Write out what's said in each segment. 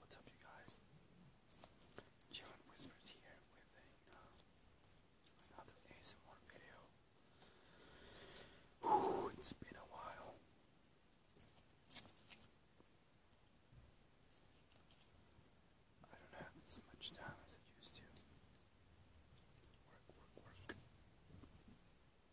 What's up, you guys? John Whispers here with a, uh, another video. Whew, it's been a while. I don't have as much time as I used to. Work, work, work.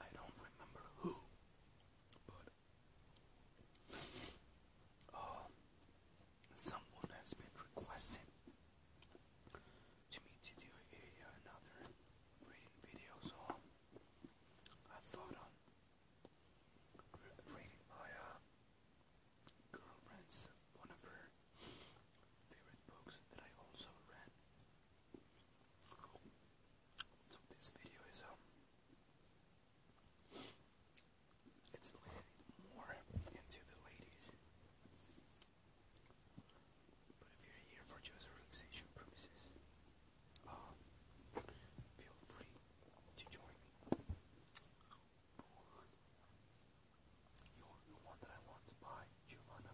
I don't remember who, but uh, someone has been requesting to me to do another reading video, so I thought on reading my uh, girlfriend's one of her favorite books that I also read. So this video is um it's a more into the ladies. But if you're here for just relaxation purposes, uh, feel free to join me. You're the one that I want to buy,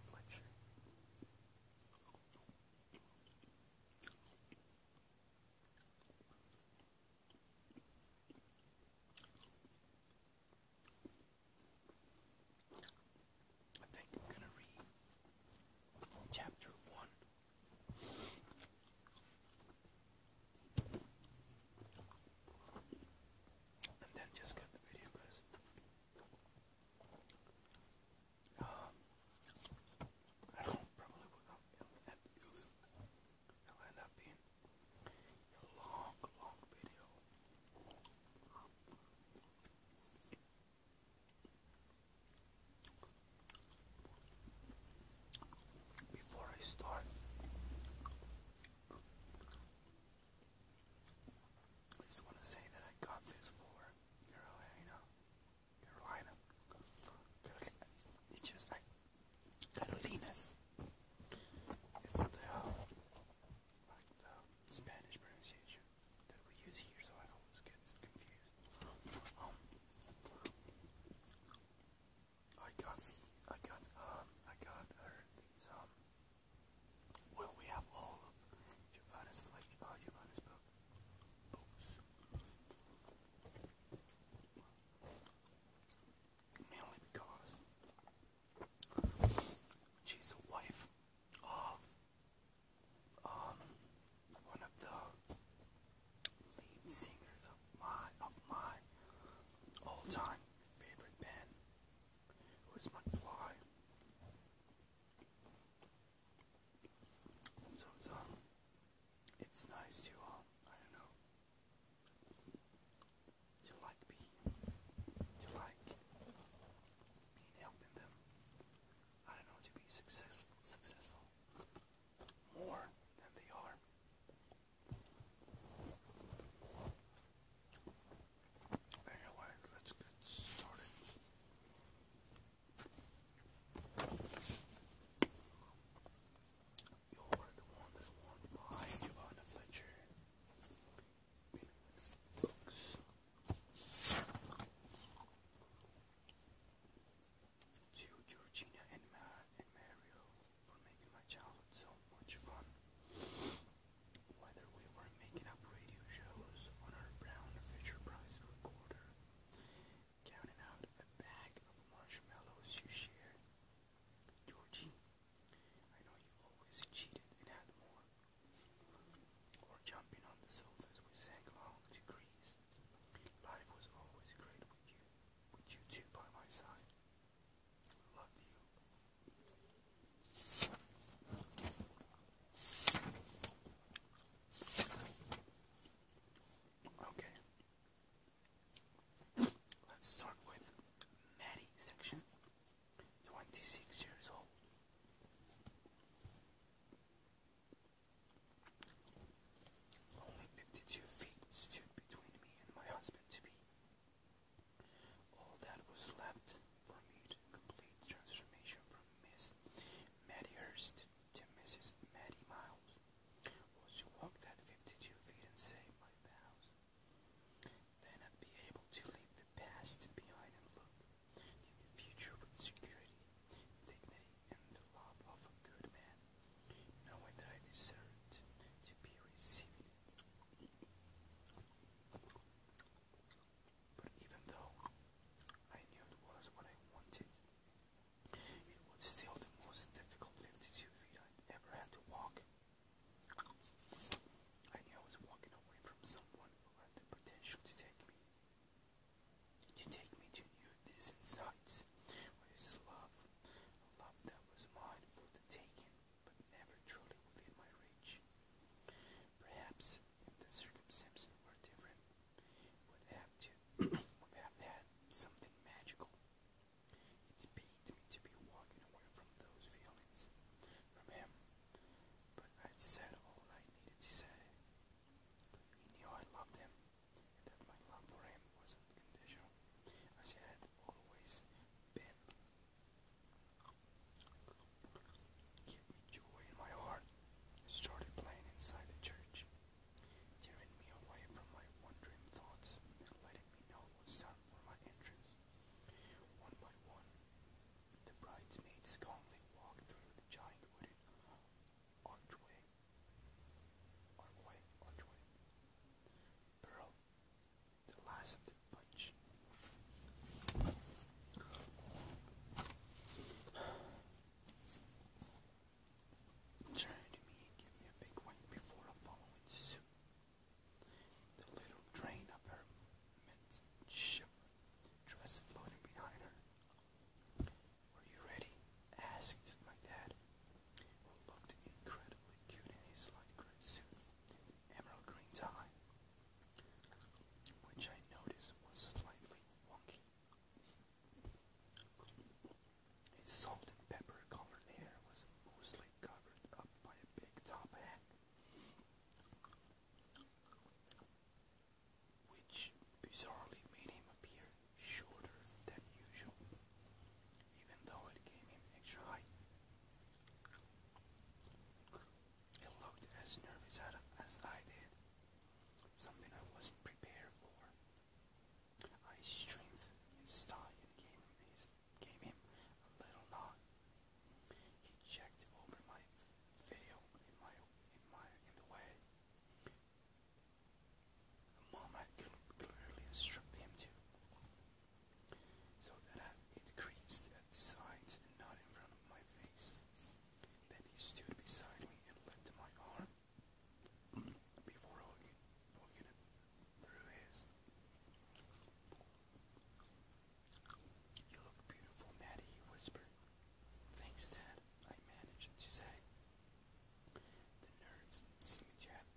Fletcher. I think I'm going to read chapter 1. And then just cut the video, guys. Um, I probably will end up being a long, long video. Before I start, I just want to say that I got this for Carolina. Carolina. It's just like Carolinas. It's uh, like the Spanish pronunciation that we use here, so I always get confused. Um, I got I got, um, I got her um, well, we have all of Giovanni's uh, books. Mainly because she's a wife of um, one of the lead singers of my all time favorite band who is McFly. So it's um, it's nice to um, I don't know, to like be, to like being helping them. I don't know to be successful, successful more than they are. Anyway, let's get started. You're the one that won't buy Fletcher. Books. To Georgina and Matt and Mario for making my childhood so much fun whether we were making up radio shows on our brown Fisher Price recorder, counting out a bag of marshmallows you shared. Georgie, I know you always cheated and had more. Or jumping on the sofa we sang along to Greece. Life was always great with you, with you two by my side. Love you, Okay. Let's start with Maddie section. 26 years old. Only 52 feet stood between me and my husband to be. All that was left for me complete transformation from Miss Maddie to Mrs. Maddie Miles was to walk that 52 feet and save my vows. Then I'd be able to leave the past behind and look to the future with security, dignity, and the love of a good man, knowing that I deserved to be receiving but even though I knew it was what I wanted, it was still the most difficult 52 feet i ever had to walk. I knew I was walking away from someone who had the potential to take me, to take me to new distant sights, with love, a love that was mine for the taking, but never truly within my reach. Perhaps if the circumstances were different, would have to would have had something magical. It pained me to be walking away from those feelings, from him. But I'd said all I needed to say. He knew I loved him, and that my love for him was unconditional, as it had always been. Give me joy in my heart, started playing inside the church, tearing me away from my wandering thoughts and letting me know what's for my entrance. One by one, the bridesmaids calmly walked through the giant wooden archway. Archway, archway. Pearl, the last of much. Turn to me and give me a big one before I follow it suit. The little train up her midst shivered, dress floating behind her. Were you ready? asked my dad, who looked incredibly cute in his light gray suit emerald green tie, which I noticed was slightly wonky. His salt and pepper colored hair was mostly covered up by a big top hat, which bizarrely made him appear shorter than usual, even though it gave him extra height. He looked as nervous as I did, something I wasn't prepared for. I strengthened his gave him, his, gave him a little nod. He checked over my veil in my in my in the way. A mom had clearly instructed him to, so that I, it sides and not in front of my face. Then he stood beside me and licked my arm before hooking, hooking through his. You look beautiful, Maddie, he whispered. Thanks, Dad, I managed to say. The nerves seemed to have,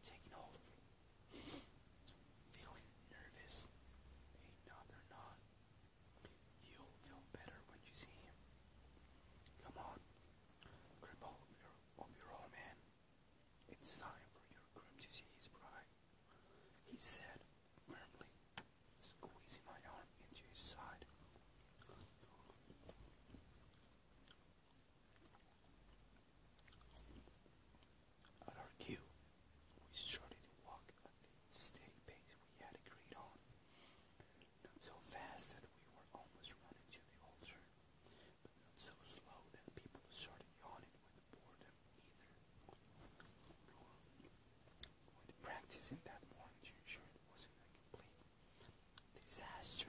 seemed to hold of me. Feeling nervous? No, they You'll feel better when you see him. Come on, grip hold of your, of your old man. It's time for your grip to see his pride, he said firmly, squeezing my arm into his side. At our cue, we started to walk at the steady pace we had agreed on, not so fast that we were almost running into the altar, but not so slow that people started yawning with boredom either. With practice in that morning to it wasn't a complete disaster.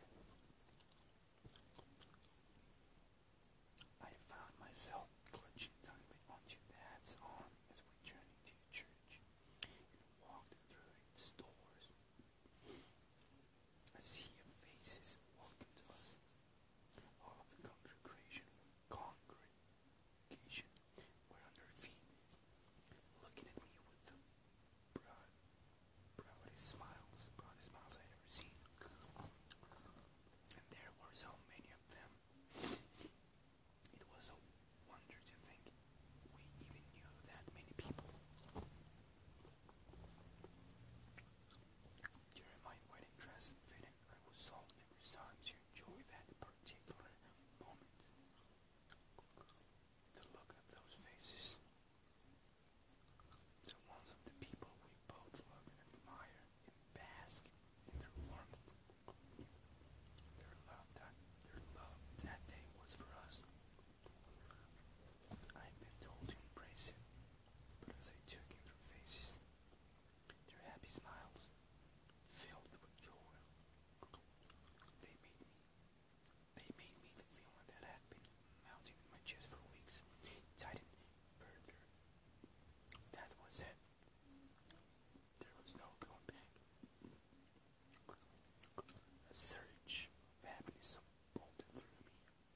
I found myself clutching tightly onto the hat's arm as we journeyed to the church and walked through its doors. A sea of faces welcomed us. All of the congregation, congregation were on their feet, looking at me with the broad, broadest smiles, broadest smiles I ever seen. And there were so many of them it was a wonder to think we even knew that many people. During my wedding dress fitting, I was sold every time to enjoy that particular moment. The look of those faces, the ones of the people we both love and admire, and bask in their warmth. Their their love that day was for us. I had been told to embrace it, but as I took in their faces, their happy smiles, filled with joy, they made me they made me the feeling that had been mounting in my chest for weeks, tighten further. That was it. There was no going back. A surge of happiness bolted through me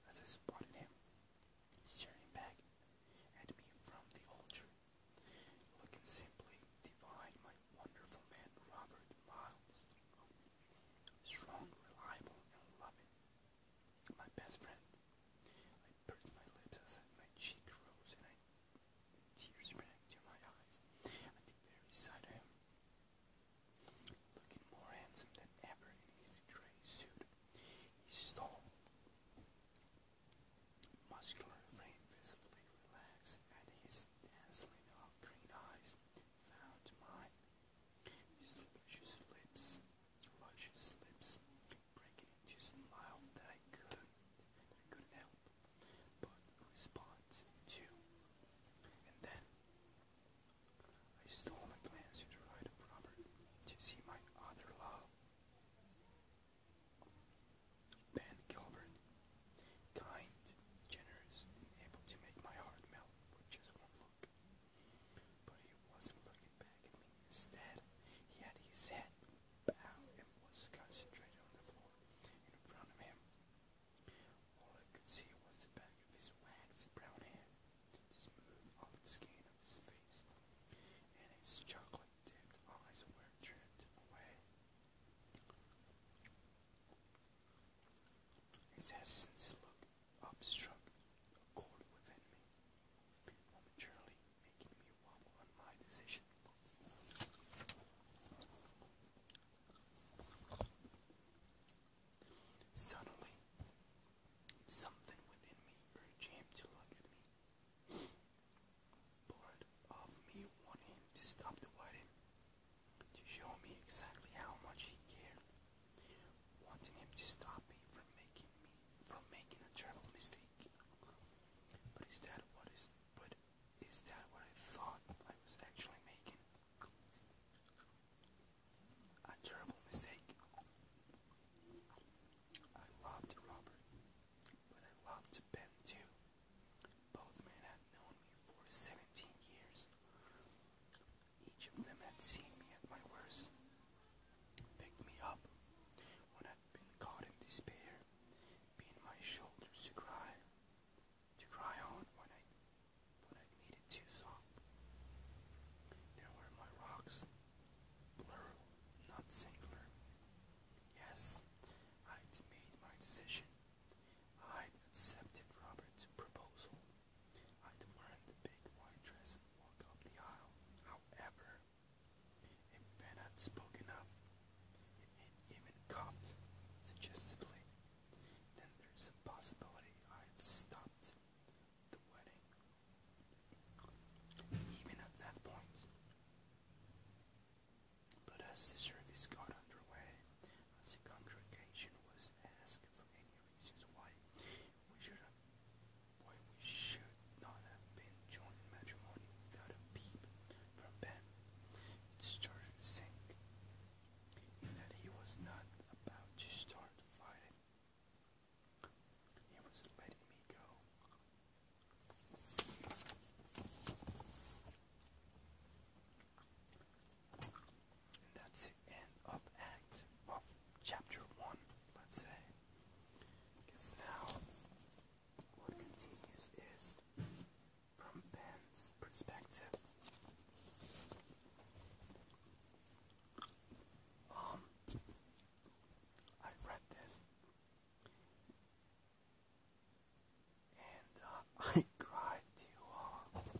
as I spotted him, staring back at me from the altar, looking simply divine. My wonderful man, Robert Miles, strong, reliable, and loving. My best friend. I pursed my lips as my cheeks rose and I, tears ran to my eyes at the very sight of him. Looking more handsome than ever in his gray suit, He tall, muscular frame visibly relaxed, and his dazzling of green eyes found my His lips luscious lips, breaking into a smile that I couldn't, I couldn't help but respond to. And then I stole a glance to the of Robert to see my other love. Ben Gilbert, kind, generous, able to make my heart melt with just one look. But he wasn't looking. Instead, he had his head bowed and was concentrated on the floor in front of him. All I could see was the back of his waxed brown hair, the smooth olive skin of his face, and his chocolate-dipped eyes were turned away. His hesitance looked up struck a chord within me. Momentarily, Suddenly, something within me urged him to look at me. Part of me wanted him to stop the wedding, to show me exactly how much he cared, wanting him to stop me from making me from making a terrible mistake. But is that what is but is that what I thought I was actually making? A terrible mistake. I loved Robert, but I loved Ben too. Both men had known me for seventeen years. Each of them had seen me at my worst picked me up when i have been caught in despair, being my shoulders to cry, to cry on when I, when I needed to sob. There were my rocks, plural, not singular. Yes, I'd made my decision. I'd accepted Robert's proposal. I'd worn the big white dress and walk up the aisle. However, if Ben had spoken up, if he'd even copped suggestively, then there's a possibility i have stopped the wedding. Even at that point. But as the service got underway, as the congregation was asked for any reasons why we should have. Boy, we should not have been joint matrimony without a peep from Ben. It started to sink in that he was not about to start fighting. He was letting me go. that's the end of Act of Chapter 1, let's say. Because now, what continues is from Ben's perspective. Um, I read this, and uh, I cried too.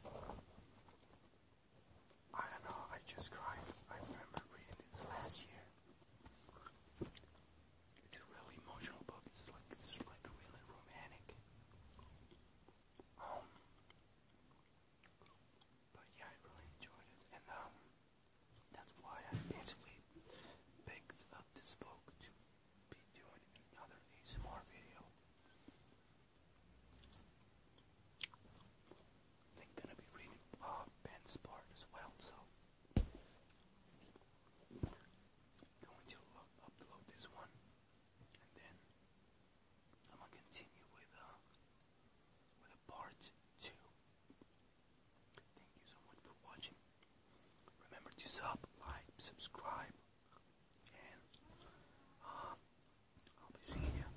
Uh, I don't know. I just cried. I remember reading this last year. It's a really emotional book. It's like it's like really romantic. Um, but yeah, I really enjoyed it, and um, that's why I basically picked up this book to be doing another ASMR video they're gonna be reading uh, oh, Ben as well, so going to upload this one, and then I'm gonna continue with uh, with a part two. Thank you so much for watching. Remember to sub, like, subscribe, and uh, I'll be seeing you.